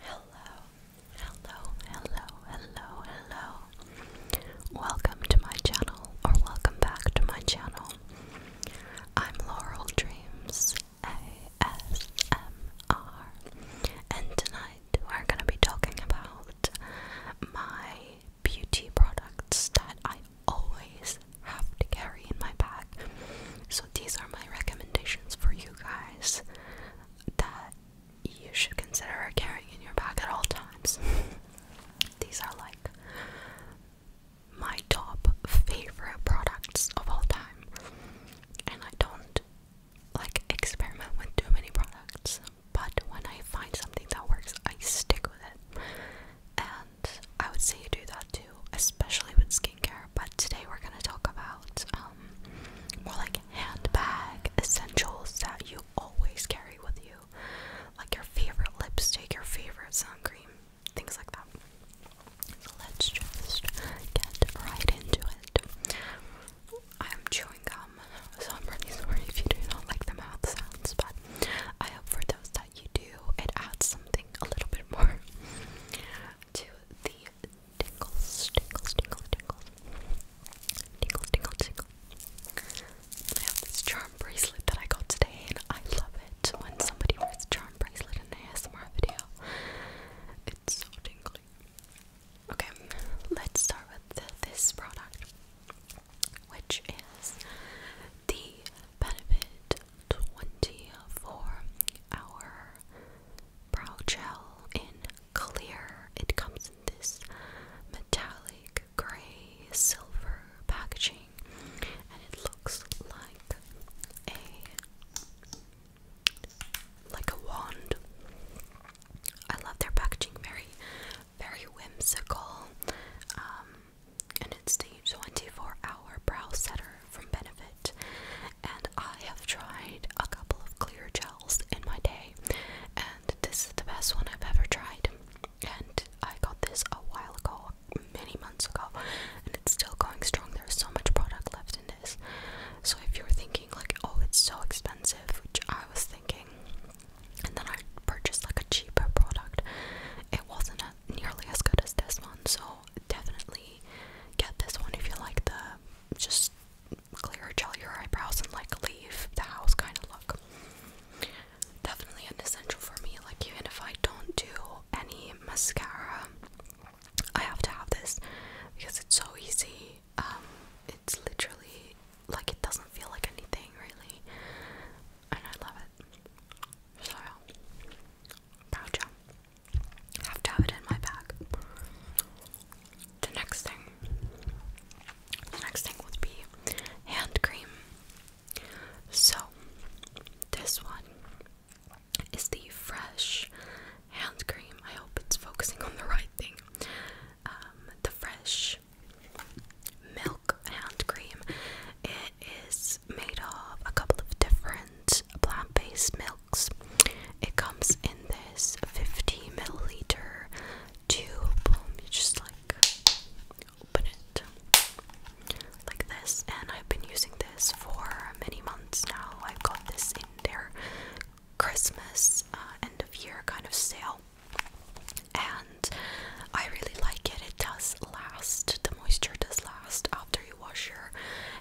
Hello, hello, hello, hello, hello. Welcome to my channel, or welcome back to my channel. I'm Laurel Dreams ASMR, and tonight we're going to be talking about my beauty products that I always have to carry in my bag. So, these are my recommendations for you guys that you should consider carrying in your bag at all times. These are like my top favorite products of all time, and I don't like experiment with too many products, but when I find something that works, I stick with it. And I would say you do that too, especially with skincare but today we're gonna talk about um, more like handbag essentials that you always carry with you, like your favorite lipstick, your favorite sun cream, things like that. let's just get right into it. I'm chewing gum, so I'm really sorry if you do not like the mouth sounds, but I hope for those that you do, it adds something a little bit more to the tingles, tingles, tingles, tingles. Tingles, tingles, tingles. I have this charm bracelet that I got today, and I love it when somebody wears a charm bracelet in an ASMR video. It's so tingly. Okay, let's start with this product, which is the Benefit 24 Hour brow gel in clear. It comes in this metallic gray silver packaging and it looks like a like a wand. I love their packaging very very whimsical. Um, and it's the 24 hour brow setter from Benefit, and I have tried a couple of clear gels in my day, and this is the best one I've ever tried. And I got this a while ago, many months ago, and it's still going strong. There's so much product left in this. So if you're thinking like, oh, it's so expensive, which I was thinking, and then I purchased like a cheaper product, it wasn't nearly as good as this one. So definitely get this one if you like the just clear gel your eyebrows and like leave the house kind of look. Definitely an essential for me. Like even if I don't do any mascara, I have to have this because it's so easy. Um, it's literally like it doesn't feel like anything really, and I love it. So pouch I have to have it in my bag. The next thing, the next thing would be hand cream. So, this one is the Fresh hand cream. I hope it's focusing on the right thing. Um, the Fresh milk hand cream is made of a couple of different plant based milks. It comes in this 50 milliliter tube. you just like open it like this. And I've been using this for many months now. I've got this in their Christmas uh, end of year kind of sale. And I really like it. It does last. The moisture does last after you wash your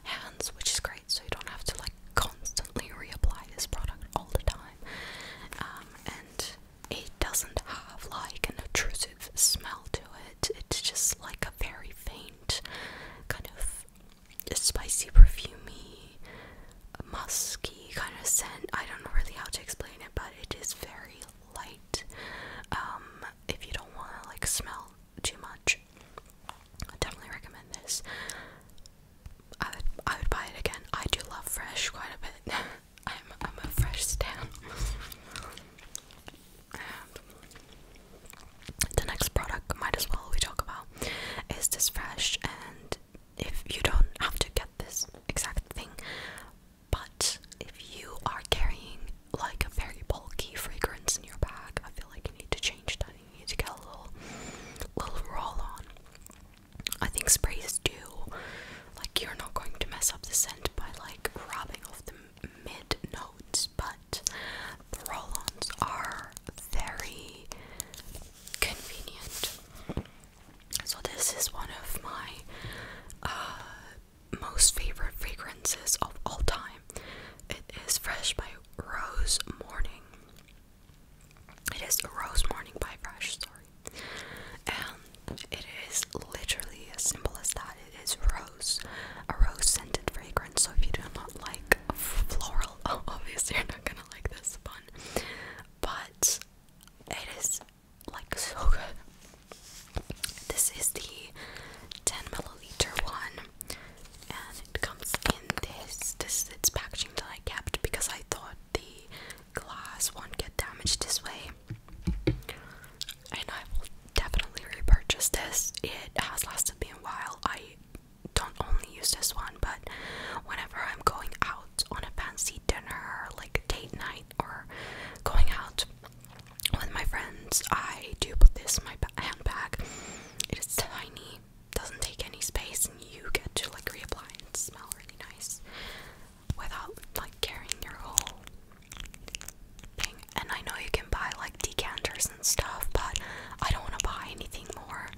hands which is great, so you don't have to like constantly reapply this product all the time. Um, and it doesn't have like an obtrusive smell to it, it's just like a very faint kind of spicy, perfumey, musky kind of scent. I don't know really how to explain it, but it is very light. Um, if you don't want to like smell too much, I definitely recommend this. I I would buy it again. I do love fresh quite a bit. I'm I'm a fresh stan. the next product might as well we talk about is this fresh and if you don't have to get this exact thing but if you are carrying like a very bulky fragrance in your bag, I feel like you need to change that. You need to get a little, little roll on. I think sprays do. Like you're not going to mess up the scent by like rubbing off the mid notes, but the roll-ons are very convenient. So this is one of my uh, most favorite fragrances of all time. It is Fresh by Rose Morning. It is Rose Morning by Fresh, sorry. And it is literally as simple as that. It is rose, a rose scented fragrance. So if you do not like floral, obviously you're not gonna like this one. But it is like so good. This is the 10 milliliter one, and it comes in this. This its packaging that I kept because I thought the glass won't get damaged this way. And I will definitely repurchase this. It has lasted me a while. I don't only use this one, but whenever I'm going out on a fancy dinner, like date night, or going out with my friends, I do put this in my handbag. It is tiny, doesn't take any space, and you get to like reapply and smell really nice without like carrying your whole thing. And I know you can buy like decanters and stuff, but I don't want to buy anything more.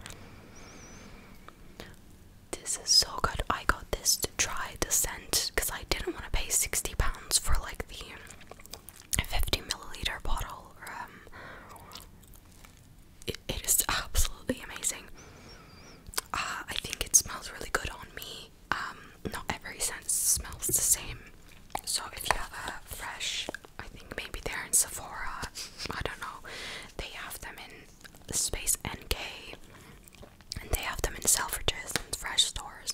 This is so good. I got this to try the scent because I didn't want to pay 60 pounds for like the 50 milliliter bottle. Um, it is absolutely amazing. Uh, I think it smells really good on me. Um, not every scent smells the same. So if you have a fresh, I think maybe they're in Sephora. I don't know. They have them in Space NK, and they have them in Selfridges and Fresh stores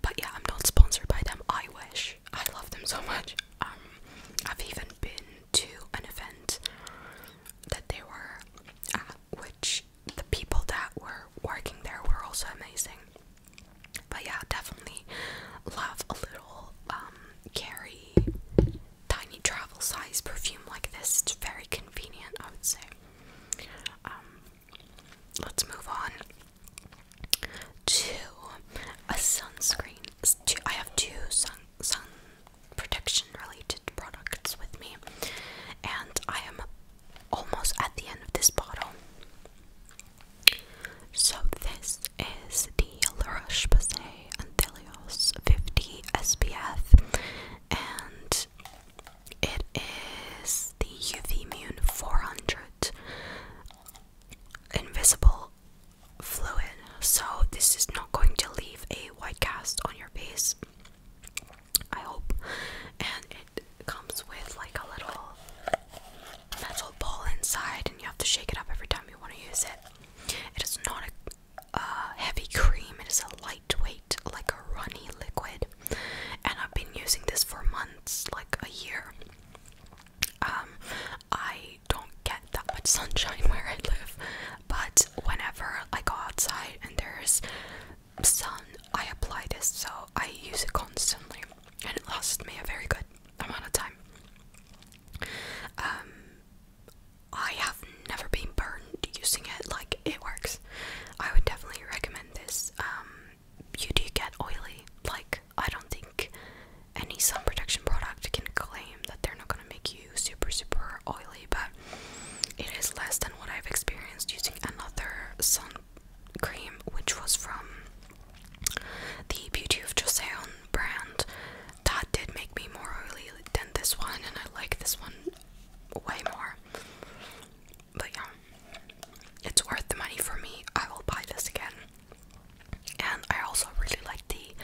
but yeah, I'm not sponsored by them. I wish I love them so much. Um, I've even been to an event that they were at, which the people that were working there were also amazing. But yeah, definitely love a little um carry tiny travel size perfume like this. It's very convenient, I would say. Um, let's move on Two, a sunscreen. I have two sun sun protection related products with me, and I am almost at the end of this bottle. So this is the La Roche Posay Anthelios 50 SPF, and it is the UV Immune 400 Invisible Fluid. So, this is not going to leave a white cast on your face, I hope. And it comes with like a little metal ball inside, and you have to shake it up every time you want to use it. It is not a uh, heavy cream, it is a lightweight, like a runny liquid and I've been using this for months, like a year. Um, I don't get that much sunshine where I live, but whenever I go outside and there's sun, I apply this, so I use it constantly, and it lasts me a very good amount of time. Um, I have never been burned using it, like, it works. I would definitely recommend this. Um, you do get oily. Like, I don't think any sun protection product can claim that they're not gonna make you super, super oily, but it is less than what I've experienced using another sun cream, which was from the Beauty of Joseon brand. That did make me more oily than this one, and I like this one way more. But yeah, it's worth the money for me. I will buy this again. And I also really like the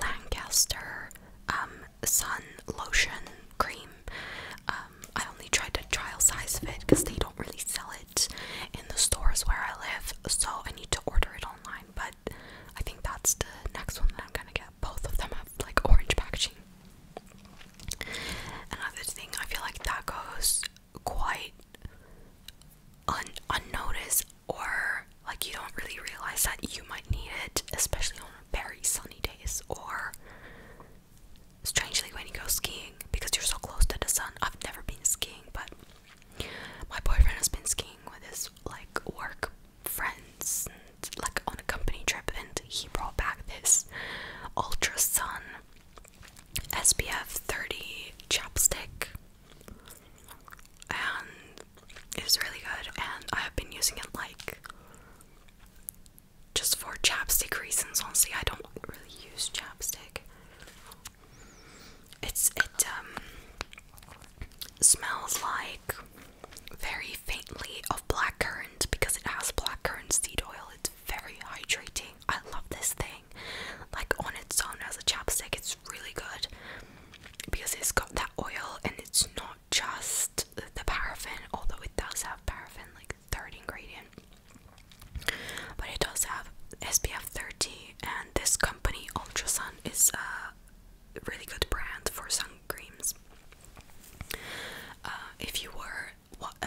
Lancaster um, Sun Lotion Cream. Um, I only tried the trial size of it because they don't really sell it in the stores where I live, so I need to order it online. But I think that's the next one that I'm gonna get. Both of them have like orange packaging. Another thing, I feel like that goes quite unnoticed, or like you don't really realize that you might need it, especially on very sunny days or strangely when you go skiing because you're so close to the sun. I've never been skiing, but my boyfriend has been skiing with his like work friends and, like on a company trip and he brought back this ultra sun SPF 30 chapstick and it's really good and I have been using it like just for chapstick reasons honestly I don't really use chapstick it's it um, smells like very faintly of blackcurrant because it has blackcurrant seed oil very hydrating. I love this thing. Like on its own as a chapstick, it's really good because it's got that oil and it's not just the paraffin, although it does have paraffin, like third ingredient. But it does have SPF 30, and this company Ultrasun is a really good brand for sun creams. Uh, if you were what uh,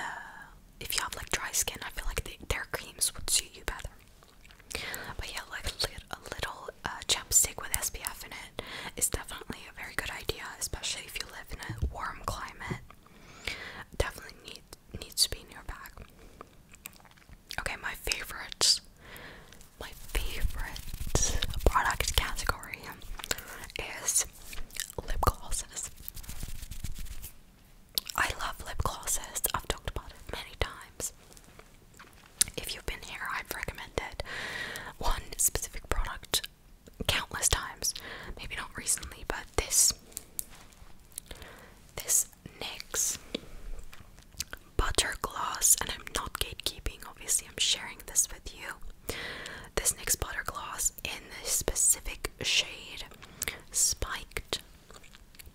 if you have like dry skin, I feel like their creams would suit you better. But yeah, like a little uh, chapstick with SPF in it is definitely a very good idea, especially if you live in a warm climate. Definitely need needs to be in your bag. Okay, my favorites, my favorite product category is lip glosses. I love lip glosses. I've talked about it many times. If you've been here, I've recommended one specific product countless times. Maybe not recently, but this this NYX butter gloss, and I'm not gatekeeping, obviously I'm sharing this with you. This NYX butter gloss in the specific shade Spiked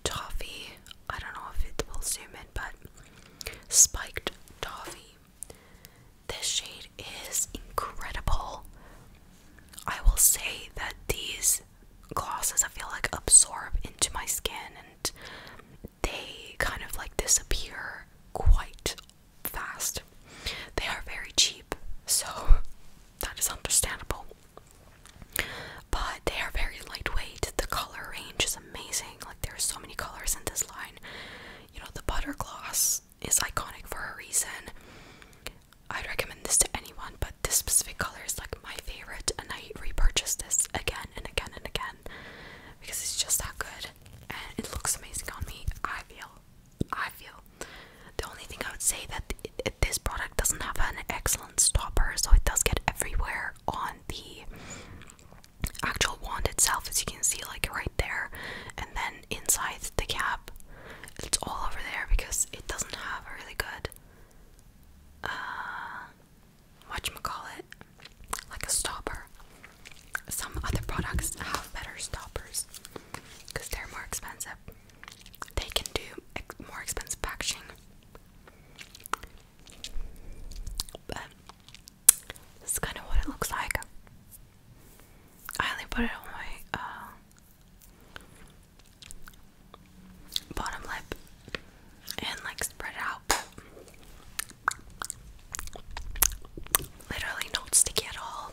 Toffee. I don't know if it will zoom in, but Spiked Toffee. This shade is incredible. I will say that these glasses I feel like absorb into my skin and they kind of like disappear quite fast. They are very cheap, so that is understandable. But they are very lightweight. The color range is amazing. Like there are so many colors in this line. You know, the butter gloss is iconic for a reason. I'd recommend this to anyone, but this specific color is like my favorite, and I repurchase this again and again and again because it's just that good and it looks amazing on me. I feel I feel. The only thing I would say that this product doesn't have an excellent stopper, so it does get everywhere on the actual wand itself, as you can see, like right there, and then inside the cap, it's all over there because it doesn't have a really good, uh, watch whatchamacallit, like a stopper some other products have better stoppers because they're more expensive. They can do more expensive packaging. But this is kind of what it looks like. I only put it on my uh, bottom lip and like spread it out. Literally not sticky at all.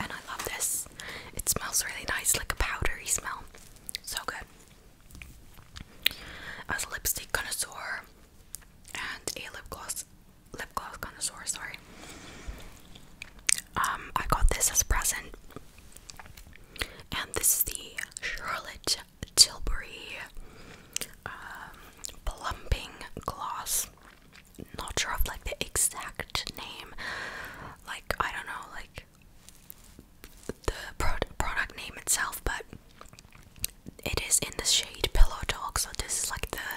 And I love this. It smells really nice, like a powdery smell. So good. As lipstick connoisseur and a lip gloss lip gloss connoisseur, sorry. Um, I got this as a present. And this is the Charlotte Tilbury um, plumping gloss not sure of like the exact name. Like I don't know, like the pro product name itself, but it is in the shade Pillow Talk. So this is like the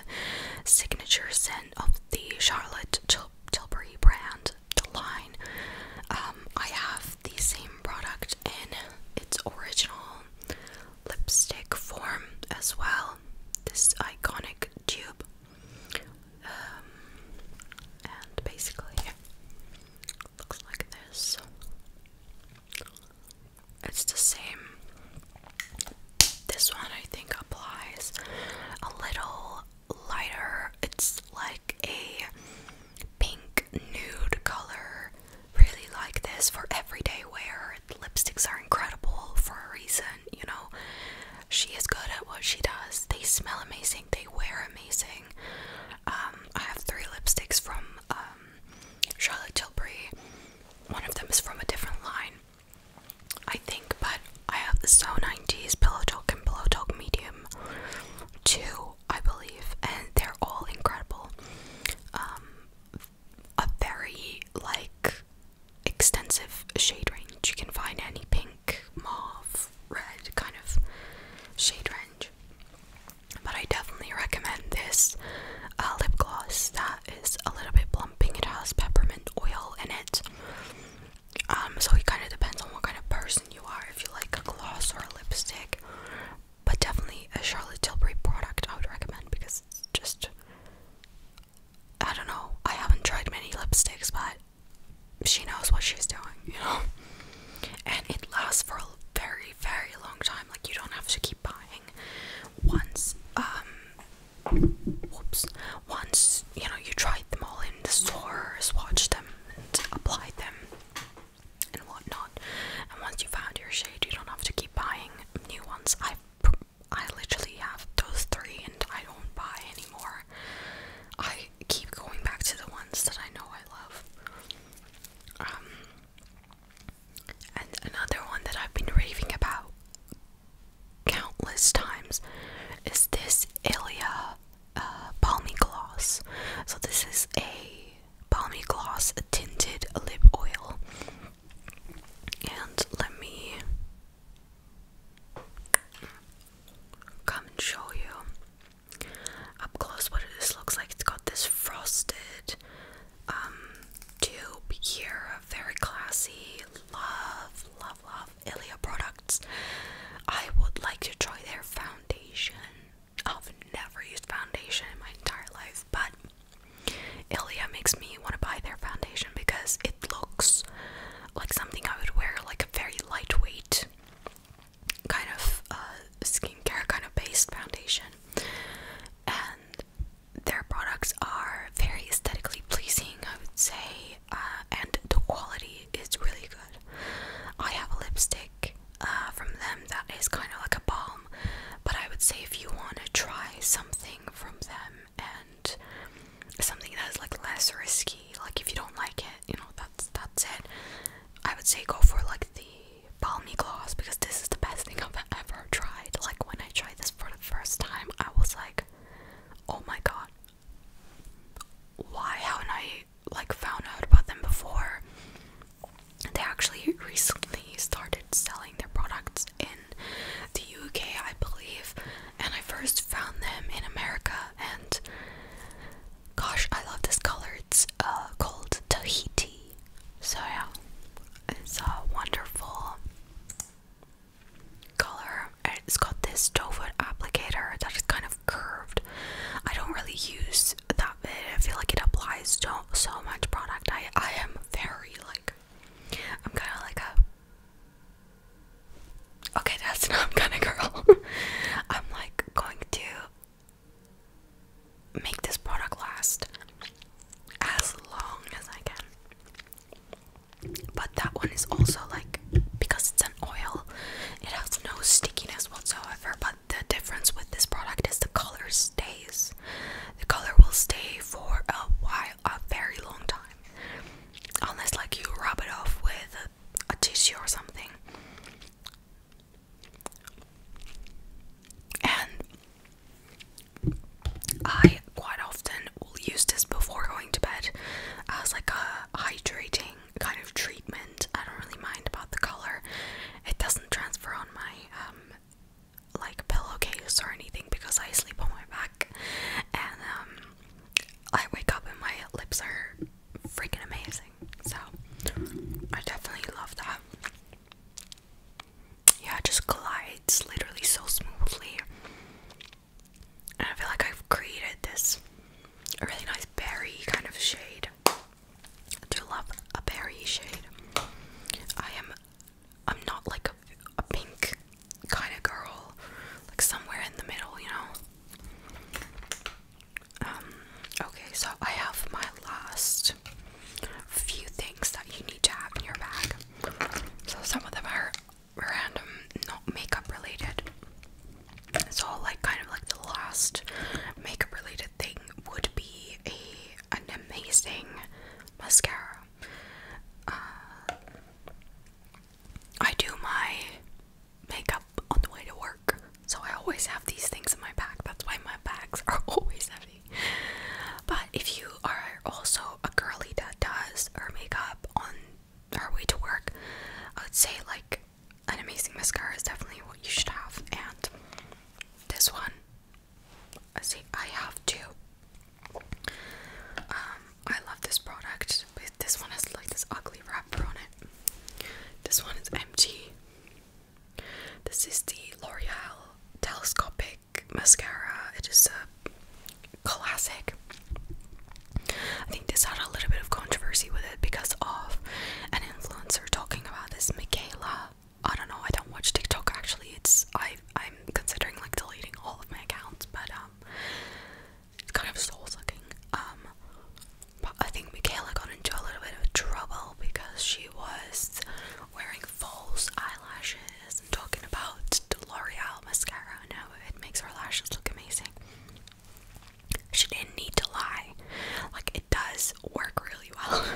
signature scent of the Charlotte Tilbury brand, the line. Um, I have the same product in its original lipstick form as well. This iconic tube. Um, and basically, looks like this. It's the same. This one, I think, applies a little lighter. It's like a pink nude color. Really like this for everyday wear lipsticks are incredible for a reason, you know. She is good at what she does. They smell amazing, they wear amazing. Um, I have three lipsticks from um, Charlotte Tilbury. One of them is from a different line, I think, but I have the So 90s Pillow Talk and Pillow Talk Medium 2, I believe, and they're all incredible. Um, a very like extensive shade range. You can find any pink, mauve, red kind of shade range. But I definitely recommend this uh, lip gloss that is a little bit plumping. It has peppermint oil in it. Um, so it kind of depends on what kind of person you are, if you like a gloss or a lipstick. But definitely a Charlotte Tilbury product I would recommend because it's just I don't know. I haven't tried many lipsticks, but she knows what she's doing, you know? And it lasts for a very, very long time. Like, you don't have to keep buying. Once, um, whoops, once, you know, you tried them all in the store, swatched them, and applied them, and whatnot. And once you found your shade, you don't have to keep buying new ones. I've I literally have those three and I don't buy anymore. I keep going back to the ones that I know I love. Um, and another one that I've been raving about countless times is this Ilia uh, Balmy Gloss. So, this is a balmy gloss tinted lip oil. And let me come and show you up close what this looks like. It's got this frosted um, tube here. Very classy. Love, love, love Ilia products. I would like to try their foundation. I've never used foundation in my entire life, but Ilia makes me want to buy their foundation because it looks like something I would wear, like a very lightweight kind of uh, skincare kind of based foundation. And their products are very aesthetically pleasing, I would say, uh, and the quality is really good. I have a lipstick uh, from them that is kind of like a balm but I would say if you want to try something from them and something that is like less risky, like if you don't like it, you know, that's that's it. I would say go for like the balmy gloss because this is the best thing I've ever tried. Like when I tried this for the first time, I was like, oh my god, why haven't I like found out about them before? They actually recently started selling their products in the UK, I believe, and I first found them in America. And gosh, I love this color. It's uh, called Tahiti. So yeah, it's a wonderful color. It's got this doe foot applicator that is kind of curved. I don't really use that I feel like it applies to so much product. I I am very like I'm kind of like a okay, that's not I'm kind of girl. I'm like going to make this product last as long as I can. But that one is also like because it's an oil, it has no stickiness whatsoever. But the difference with this product is the color stays the color will stay for a while, a very long time. Unless, like, you rub it off with a tissue or something. And I quite often will use this before going to bed as like a hydrating kind of treatment. I don't really mind about the color, it doesn't transfer on my um, like pillowcase or anything because I sleep on my back and um, I wake up and my lips are freaking amazing. So I definitely love that. Yeah, it just glides literally so smoothly. And I feel like I've created this really nice berry kind of shade. I do love a berry shade. I am I'm not like a, a pink kind of girl, like somewhere in the middle, you know. Um, okay, so I have my last few things that you need to have in your bag. So some of them are random, not makeup related. It's all like kind of like the last makeup related thing would be a an amazing mascara. Uh, I do my makeup on the way to work, so I always have these things in my bag. That's why my bags are always heavy. But if you are also a girly that does her makeup on her way to work, I would say like an amazing mascara is definitely what you should have, and this one I uh, see I have two. Um, I love this product, but this one has like this ugly wrapper on it. This one is empty. This is the L'Oreal Telescopic Mascara. It is a classic. I think this had a little bit of controversy with it because of an influencer talking about this Michaela I don't know. I don't watch TikTok actually. It's I I'm considering like deleting all of my accounts, but um, it's kind of soul sucking. Um, but I think Michaela got into a little bit of trouble because she was wearing false eyelashes and talking about the L'Oreal mascara and how it makes her lashes look amazing. She didn't need to lie. Like it does work really well.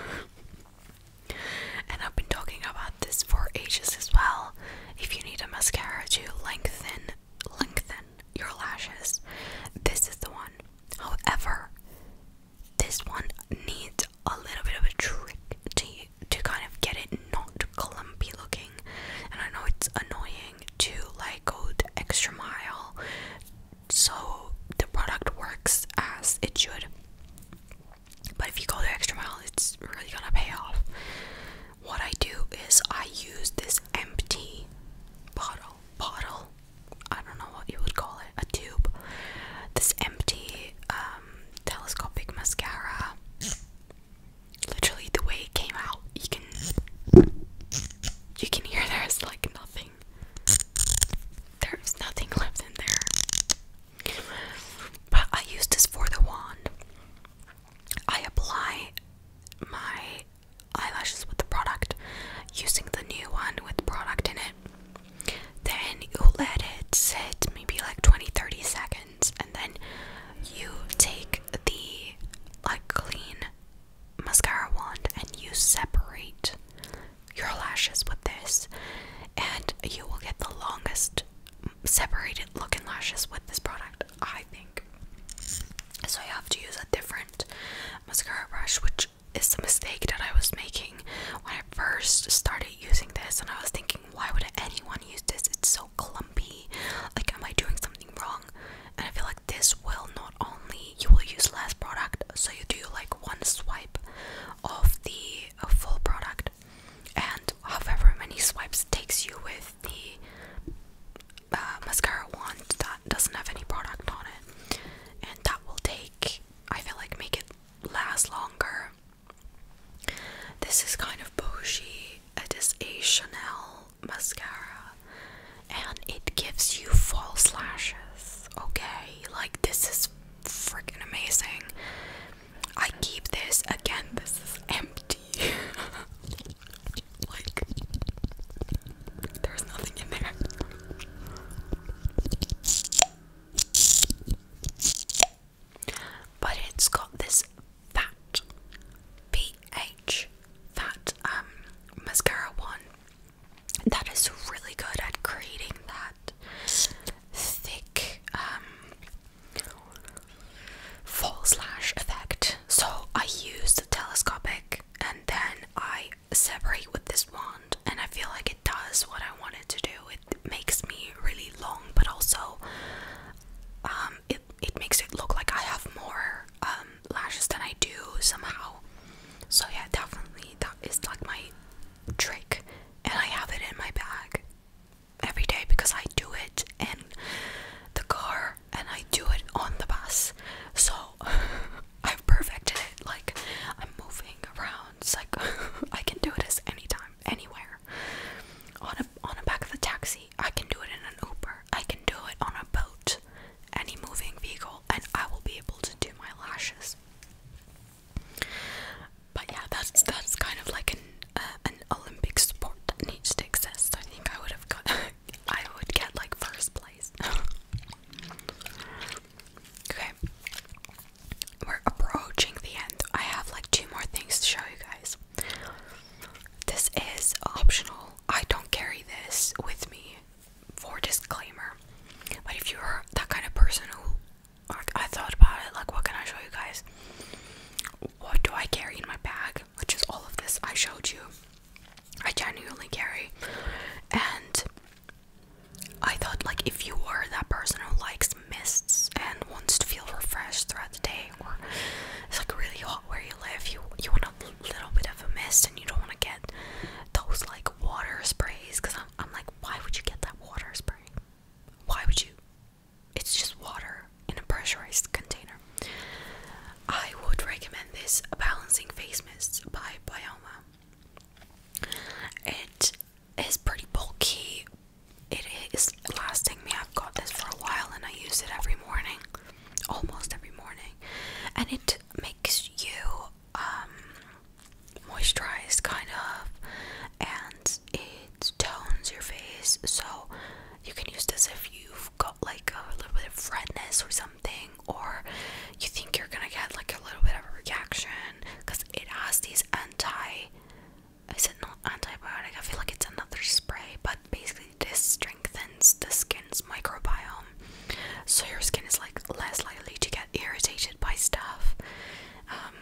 And I've been talking about this for ages as well. If you need a mascara to lengthen, lengthen your lashes, this is the one. However, this one needs a little bit of a trick to to kind of get it not clumpy looking. And I know it's annoying to like go the extra mile so the product works as it should. But if you go the extra mile, it's really gonna pay off. What I do is I use this empty bottle, bottle, I don't know what you would call it, a tube. This empty um, telescopic mascara. Literally, the way it came out, you can you can hear there's like nothing there's nothing left in there. But I use this for the wand. I apply my eyelashes with the product using the new one with product in it. Then you let it sit maybe like 20 30 seconds and then you take the like clean mascara wand and you separate your lashes with this, and you will get the longest separated looking lashes with this product, I think. So, I have to use a different mascara brush, which is the mistake that I was making when I first started using this, and I was thinking, why would anyone use this? It's so clumpy. Like, am I doing something wrong? And I feel like this will not only you will use less product so you do like one swipe of the uh, full product and however many swipes takes you with the uh, mascara wand that doesn't have any product on it and that will take I feel like make it last longer this is kind of bougie it is a Chanel mascara and it gives you false lashes okay like this is freaking amazing. I keep this again. This is empty. like there's nothing in there. But it's got this fat pH fat um mascara one that is really good at creating that thick um, fall slash effect. So I use the telescopic and then I separate with this wand, and I feel like it does what I wanted to do. It makes me really long, but also um, it it makes it look like I have more um, lashes than I do somehow. So yeah, definitely that is like my trick, and I have it in my bag every day because I do it in the car and I do it on the bus. So I've perfected it. Like I'm moving around. It's like I can do this anytime, anywhere. On a on a back of the taxi, I can do it in an Uber. I can do it on a boat, any moving vehicle, and I will be able to do my lashes but yeah, that's that's kind of like an uh, an Olympic sport that needs to exist. I think I would have got, I would get like first place. okay, we're approaching the end. I have like two more things to show you guys. This is optional. I don't carry this with me for disclaimer. But if you're that kind of person who, like, I thought about it, like, what can I show you guys? What do I carry in my bag? Which is all of this I showed you. I genuinely carry. And I thought, like, if you are that person who likes mists and wants to feel refreshed throughout the day, or it's like really hot where you live, you you want a little bit of a mist, and you don't want to get those like like water sprays because I'm, I'm like, why would you get that water spray? Why would you? It's just water in a pressurized container. I would recommend this Balancing Face Mist by Bioma. It is pretty bulky. It is lasting me. I've got this for a while and I use it every morning. Almost every morning. And it makes you um, moisturized kind of and it tones your face so you can use this if you've got like a little bit of redness or something or you think you're gonna get like a little bit of a reaction because it has these anti is it not antibiotic i feel like it's another spray but basically this strengthens the skin's microbiome so your skin is like less likely to get irritated by stuff. Um,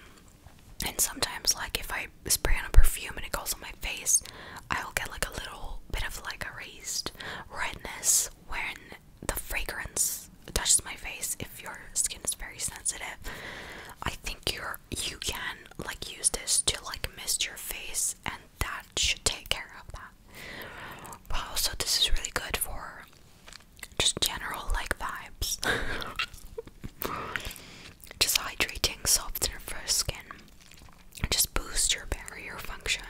and sometimes, like if I spray on perfume and it goes on my face, I'll get like a little bit of like a raised redness when the fragrance touches my face. If your skin is very sensitive, I think you're you can like use this to like mist your face, and that should take care of that. Wow, so this is really good for just general like vibes. just hydrating, softener for skin. Just boosts your barrier function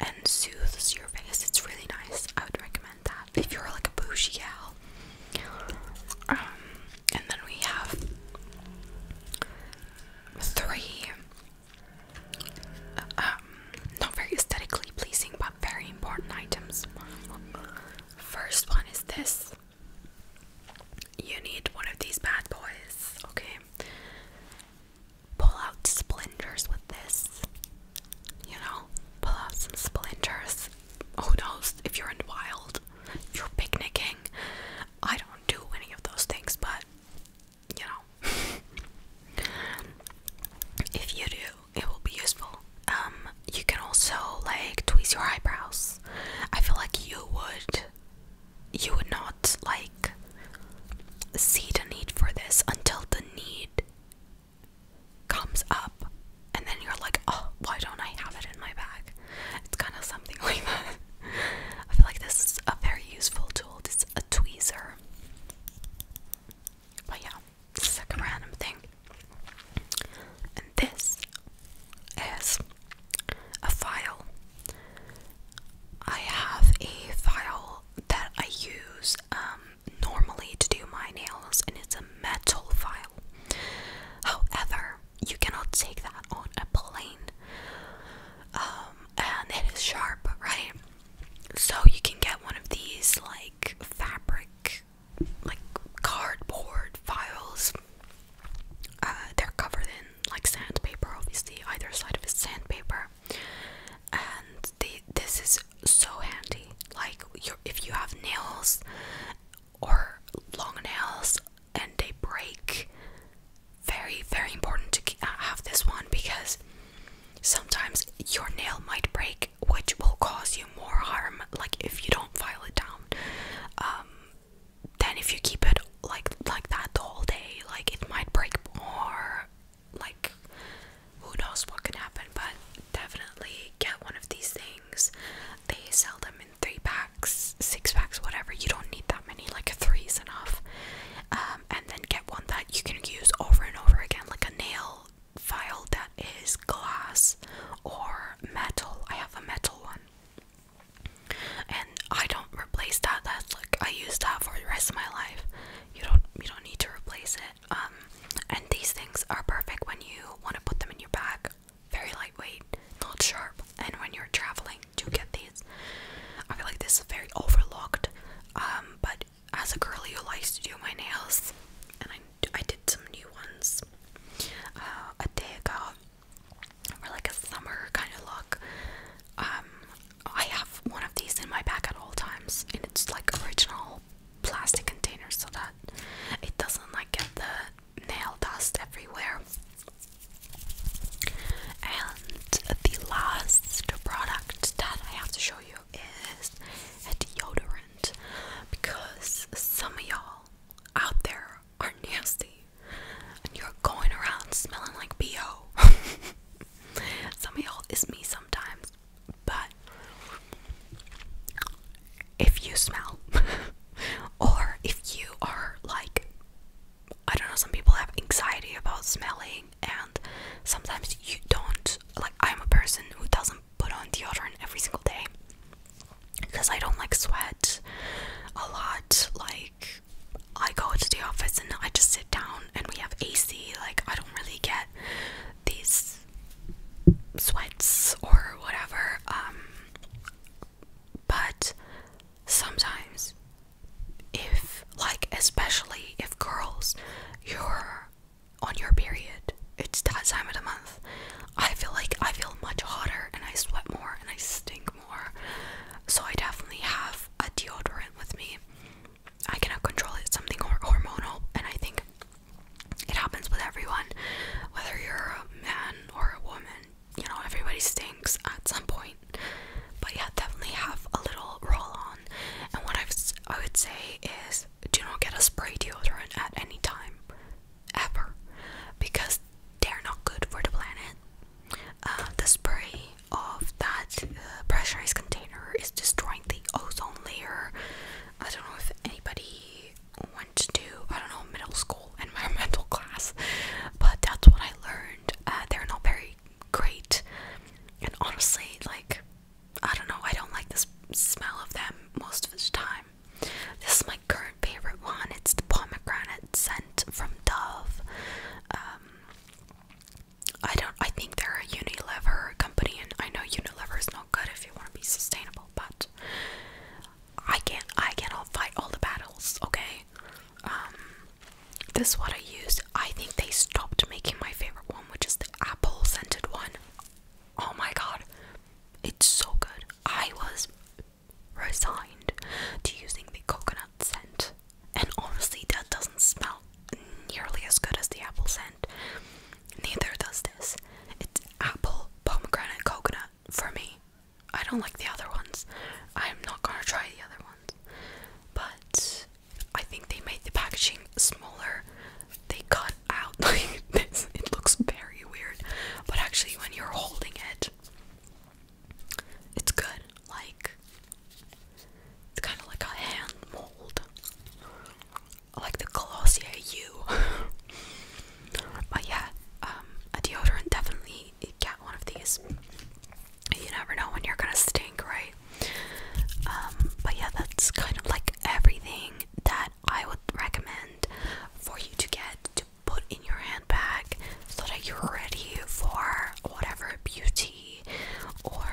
and soothes your face. It's really nice. I would recommend that if you're like a bougie gal. Um, and then we have three um, not very aesthetically pleasing but very important items. First one is this. You need one of these bad boys, okay? Pull out splinters with this. You know, pull out some splinters. Who knows if you're in the wild, you're picnicking. I don't do any of those things, but you know. if you do, it will be useful. Um, you can also like twist your eyebrows. I feel like you would you would not like see the need for this until the need comes up and then you're like, oh, why don't I have it in my bag? It's kind of something like that. I feel like this is a very useful tool. This is a tweezer. But yeah, this like a random thing. And this is a file. I have a file that I use um, normally to do my nails, and it's a metal file. However, you cannot take that on a plane. Um, and it is sharp, right? so you can get one of these like fabric, like cardboard files. Uh, they're covered in like sandpaper, obviously. Either side of a sandpaper, and this is so handy. Like, if you have nails or long nails and they break, very, very important to uh, have this one because sometimes your nail might break, which will cause you more harm. Like if you don't file it down, um, then if you keep it like like that the whole day, like it might break more. Like who knows what can happen? But definitely get one of these things. They sell them in three packs, six packs, whatever. You don't need that many. Like three is enough. Um, and then get one that you can use over and over again, like a nail file that is glass or metal. I have a metal one, and I don't replace that. That's like I use that for the rest of my life. You don't, you don't need to replace it. Um, and these things are perfect when you want to put them in your bag. Very lightweight, not sharp, and when you're traveling, do get these. I feel like this is very overlooked. Um, but as a girl who likes to do my nails, and I, I did some new ones uh, a day ago for like a summer kind of look. Um, I have one of these in my bag at all times, and it's like original plastic container so that it doesn't like get the nail dust everywhere the last product that I have to show you is a deodorant because some of y'all out there are nasty and you're going around smelling like BO. some of y'all is me sometimes, but if you smell or if you are like I don't know, some people have anxiety about smelling, and sometimes you don't. Like, I'm a person who doesn't put on deodorant every single day because I don't like sweat a lot. Like, I go to the office and I just sit down, and we have AC. Like, I don't really get these sweats or whatever. Um, but sometimes if like especially if girls you're on your period it's that time of the month i feel like i feel much hotter and i sweat more and i stink more so i definitely have a deodorant with me i cannot control it it's something hormonal and i think it happens with everyone whether you're a man or a woman you know everybody stinks at some point but yeah, definitely have a little roll on. And what i would say is do not get a spray deodorant at any time, ever, because they're not good for the planet. Uh, the spray of that uh, pressurized container is destroying the ozone layer. I don't know if anybody went to, I don't know, middle school environmental class, but that's what I learned. Uh, they're not very great. And honestly, like, I don't know, I don't like the smell of them most of the time. This is my current favorite one. It's the pomegranate scent from Dove. Um, I don't, I think they're a Unilever company, and I know Unilever is not good if you want to be sustainable, but I can't, I can't all fight all the battles, okay? Um, this is what I used. I think they stopped making my favorite one, which is the apple scented one. Oh my god, it's so good. I was resigned to using the coconut scent, and honestly, that doesn't smell nearly as good as the apple scent. Neither does this. It's apple, pomegranate, coconut for me. I don't like the other ones. I'm not gonna try the other ones but I think they made the packaging smaller. They cut out like this. It looks very weird, but actually, when you're holding it, it's good. Like it's kind of like a hand mold, like the Glossier U. but yeah, um, a deodorant definitely definitely get one of these. You never know when you're gonna stink, right? Um, but yeah, that's kind of like everything that I would recommend for you to get to put in your handbag so that you're ready for whatever beauty or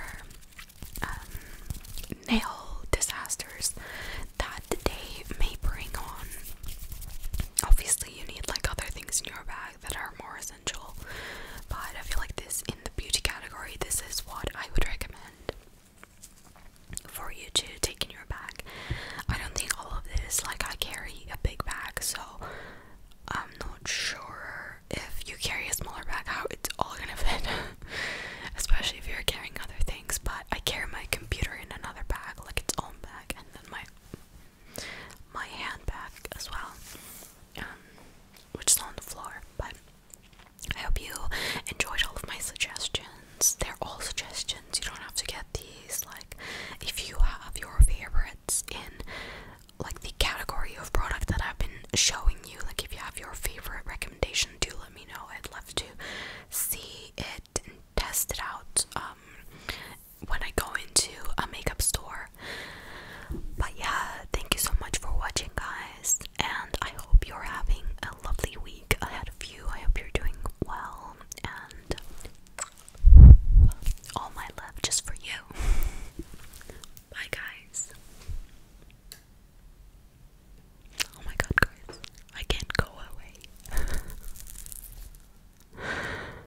um, nail disasters that the day may bring on. Obviously, you need like other things in your bag that are more essential. But I feel like this in the beauty category, this is what I would recommend for you to take in your bag. I don't think all of this, like I carry a big bag, so I'm not sure if you carry a smaller bag how it's all gonna fit. Especially if you're carrying other things, but I carry my computer in another bag, like its own bag, and then my my handbag as well, um, which is on the floor. But I hope you enjoyed all of my suggestions. They're all suggestions. You don't have to get these. Like, if you have your favorites in like the category of product that I've been showing you, like if you have your favorite recommendation, do let me know. I'd love to see it and test it out. Um, when I go into a makeup store. But yeah, thank you so much for watching, guys, and I hope you're having a lovely week ahead of you. I hope you're doing well, and all my love just for you. Bye, guys. Oh my god, guys, I can't go away.